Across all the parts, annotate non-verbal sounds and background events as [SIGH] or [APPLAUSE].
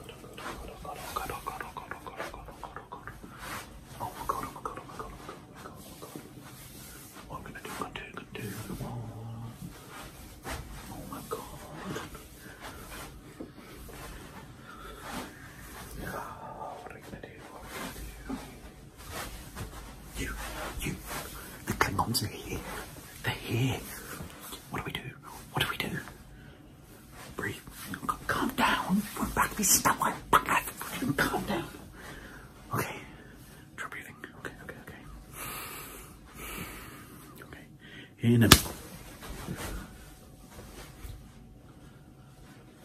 Oh my god, oh my god, oh my god, oh my god, oh my god. What I'm gonna do, I'm gonna do, I'm gonna do. Oh my god. Yeah, what are we gonna do? What are we gonna do? You, you, the Klingons are here. They're here. What do we do? What do we do? Breathe. Calm down. We're about to be stuck like Calm down. Okay. Try breathing. Okay, okay, okay. Okay. In a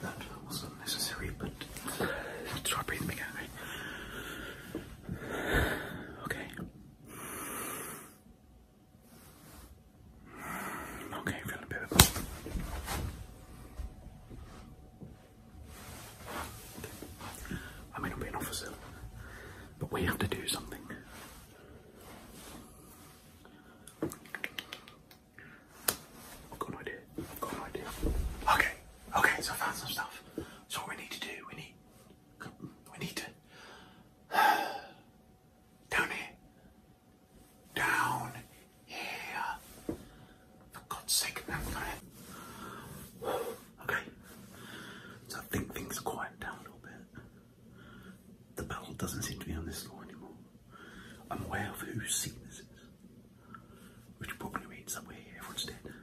that was is but try breathing again, Okay. Okay, feeling better. Okay. I may not be an officer, but we have to do something i idea. i idea. Okay, okay, so I found some stuff. So what we need to do, we need we need to [SIGHS] down here. Down here. For God's sake, now, Okay. So I think things are down a little bit. The battle doesn't seem to be on this floor anymore. I'm aware of whose scene this is we're going to somewhere everyone's dead.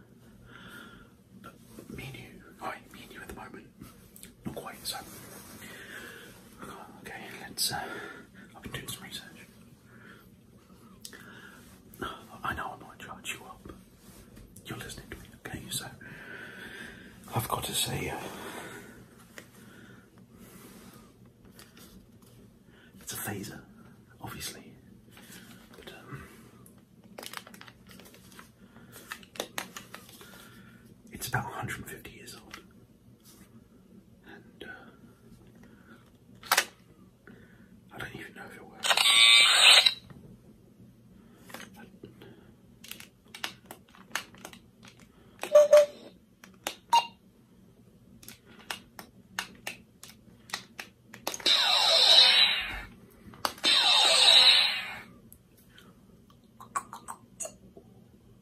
But me and you, right, me and you at the moment, not quite, so. Okay, let's, uh, I've been doing some research. I know I might charge you up. You're listening okay? So, I've got to say, uh, it's a phaser, obviously. But, um, it's about 150 years old. And uh, I don't even know if it works.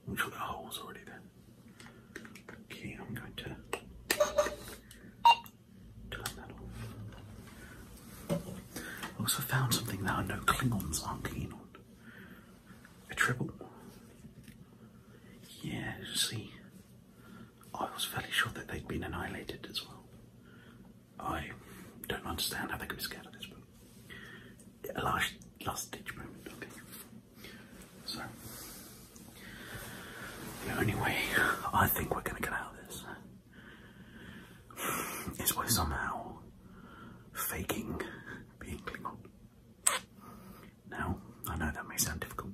I'm sure that hole's already there. Okay, I'm going to turn that off. also found something that I know Klingons aren't keen on. A triple. Yeah, see, I was fairly sure that they'd been annihilated as well. I don't understand how they could be scared of this, but a last, last ditch moment, I think. So, the only way I think we're going to get out of this is by somehow faking being Klingon. Now, I know that may sound difficult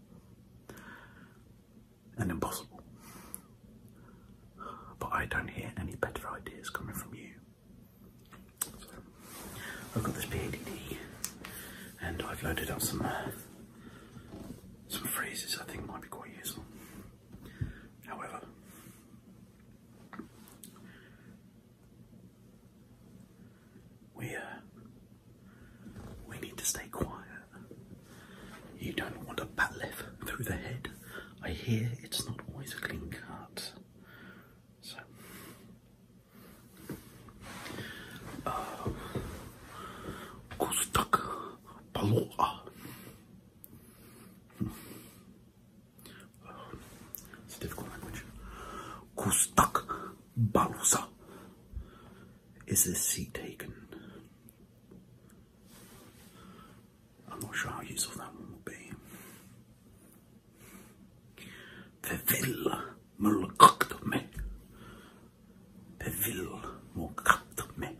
and impossible, but I don't hear any better ideas coming from you. I've got this PADD and I've loaded up some some phrases I think might be quite useful. However, we, uh, we need to stay quiet. You don't want a bat left through the head. I hear it's not always a clean cut. So, uh, Gustak hmm. uh, It's a difficult language. Gustak Balusa. Is this seat taken? I'm not sure how useful that one will be. Pevil Mulkakdome. Pevil Mulkakdome.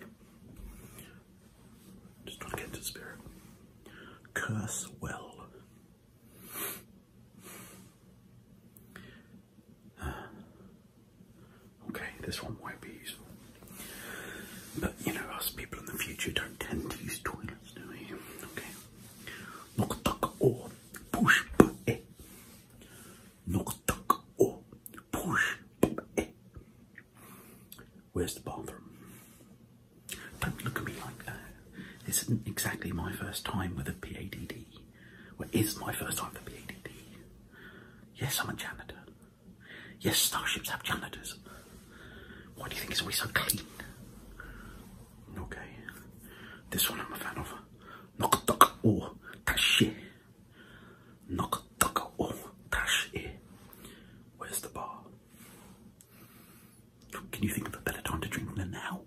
Just trying to get into the spirit. Curse well. [SIGHS] Okay, this one might be useful. But you know, us people in the future don't tend to use toilets, do we? Okay. Knock tuck or push eh. Knock tuck or push eh. Where's the bathroom? Don't look at me like that. This isn't exactly my first time with a PADD. Well, my first time with a PADD. Yes, I'm a janitor. Yes, starships have janitors. Why do you think it's always so clean? Okay. This one I'm a fan of. Knock duck or tash Knock duck or tash Where's the bar? Can you think of a better time to drink than now?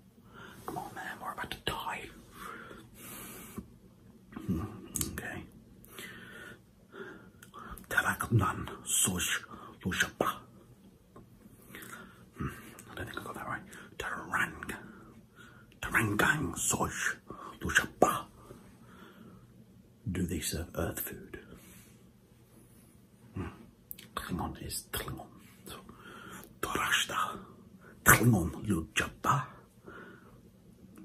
Come on, man, we're about to die. Hmm, okay. Taraknan Soj Yoshaba. I don't think I got that right. Tarang. Tarangang Soj Yoshaba. Do they serve earth food? Mm. is Tlingon. So, Torashta, Lujaba.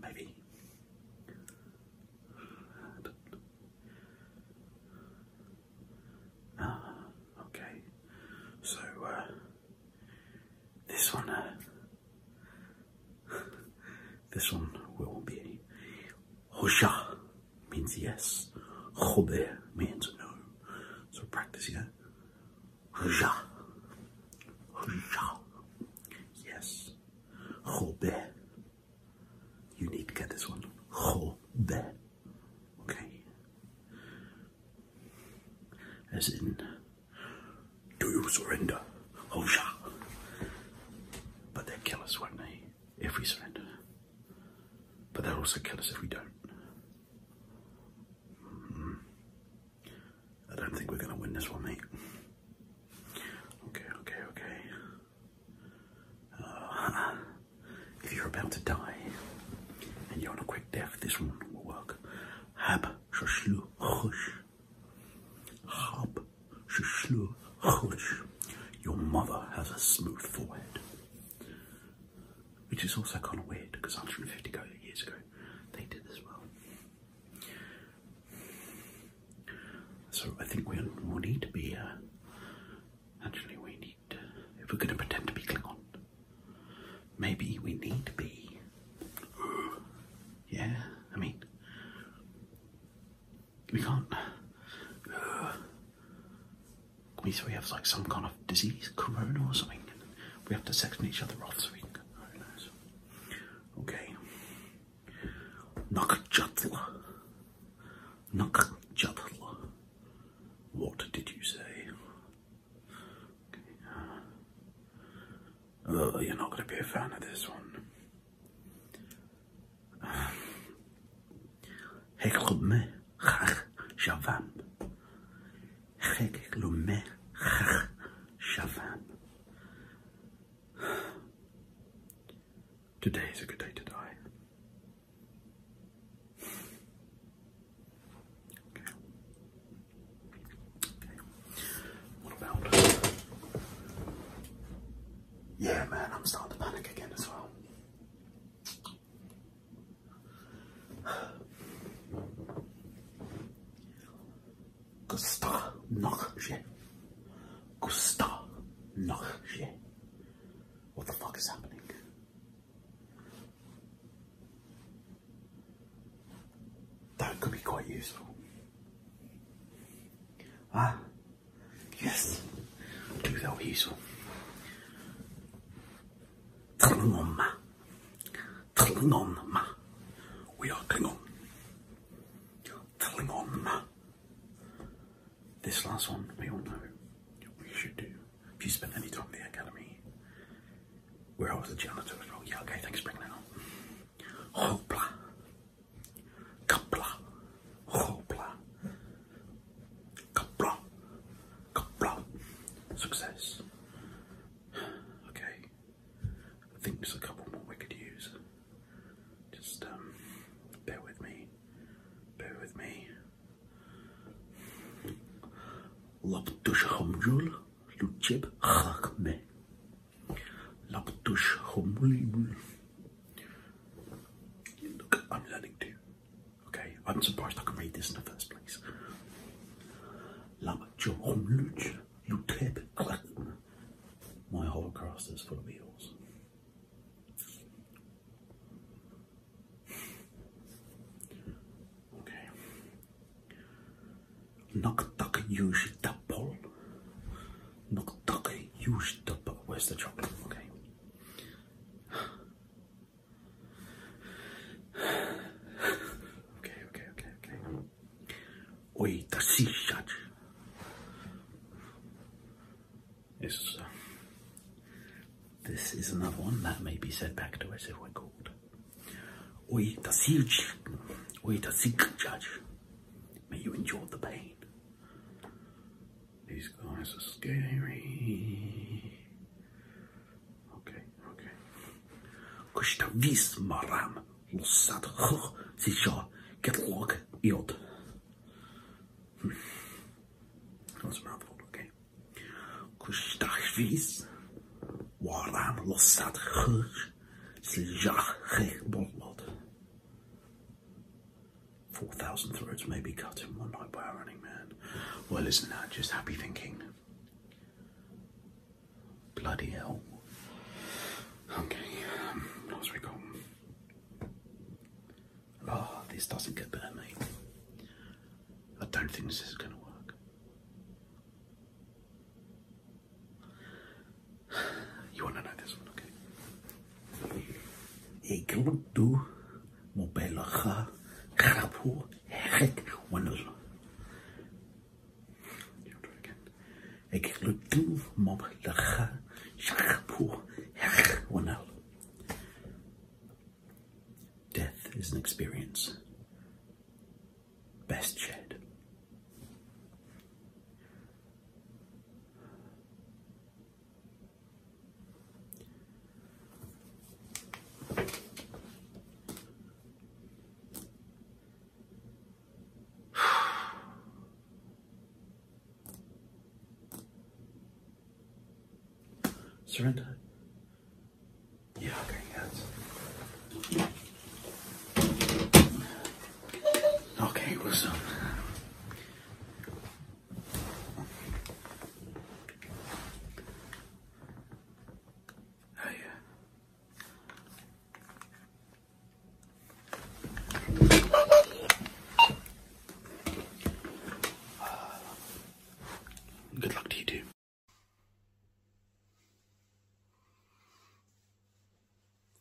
Maybe. Ah, okay. So, uh, this one, uh, [LAUGHS] this one will be Hosha means yes. Chobe means no. So practice, yeah. practicing it. Hosha. Hosha. Yes. Chobe. You need to get this one. Chobe. Okay. As in, do you surrender? Hosha. But they kill us, won't they? if we surrender. But they'll also kill us if we don't. Hmm. I don't think we're going to win this one, mate. Okay, okay, okay. Uh, [LAUGHS] if you're about to die and you're a quick death, this one will work. Hab shashlu chosh. Hab shashlu chosh. Your mother has a smooth forehead. Which is also kind of weird because 150 years ago they did as well. So I think we'll, need to be, uh, actually we need, if we're going to pretend to be Klingon, maybe we need to be, yeah, I mean, we can't. Uh, we so we have like some kind of disease, corona or something, we have to section each other off so we can. Who Okay. Nakjatla. Nakjatla. What did you say? Uh, uh, you're not going to be a fan of this one. Hey club me khakh shavan Hey club me khakh Today is a good day to die Yeah, man, I'm starting to panic again as well. Gusta noch shit. Gusta noch shit. What the fuck is happening? That could be quite useful. Ah, Yes. Do that weasel. Klingon ma. Klingon ma. We are Klingon. Klingon ma. This last one, we all know we should do. If you spend any time at the academy, where was a janitor as Yeah, okay, thanks for that up. Hopla. Kapla, hopla, kapla, kapla. Success. Okay. I think there's a couple more we could use. Just um, bear with me. Bear with me. Lop dush luchib chakme. Laktush Humul. Look, I'm learning too. Okay, I'm surprised I could read this in the first place. You tip My holocaust is full of eels. Okay. Knock duck use double. Nokdake huge dubba. Where's the chocolate? Okay. okay, okay, okay, okay. Oi, the sea shot. This is, uh, this is another one that may be said back to us if we're called. Oi, the sea judge. Oi, the sea judge. May you endure the pain. These guys are scary. Okay, okay. Кошта вис марам лусад хох get кетлог йод. Hmm. That's a mouthful, okay. Кошта vis марам losat хох 4,000 throats may be cut in one night by a running man. Well, isn't that just happy thinking? Bloody hell. Okay, um, what else we got? Ah, this doesn't get better, mate. I don't think this is going to work. [SIGHS] You want to know this one, okay? Egludu mobelacha krapu herek wanel. You do it again. Egludu mobelacha krapu herek wanel. Death is an experience best shed. [SIGHS] Surrender. Yeah, okay, guys. Okay, what's up? Um, uh, good luck to you too.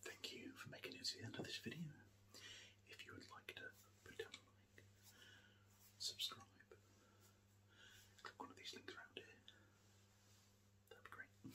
Thank you for making it to the end of this video. If you would like to put down a like, subscribe, click one of these links around here. That'd be great.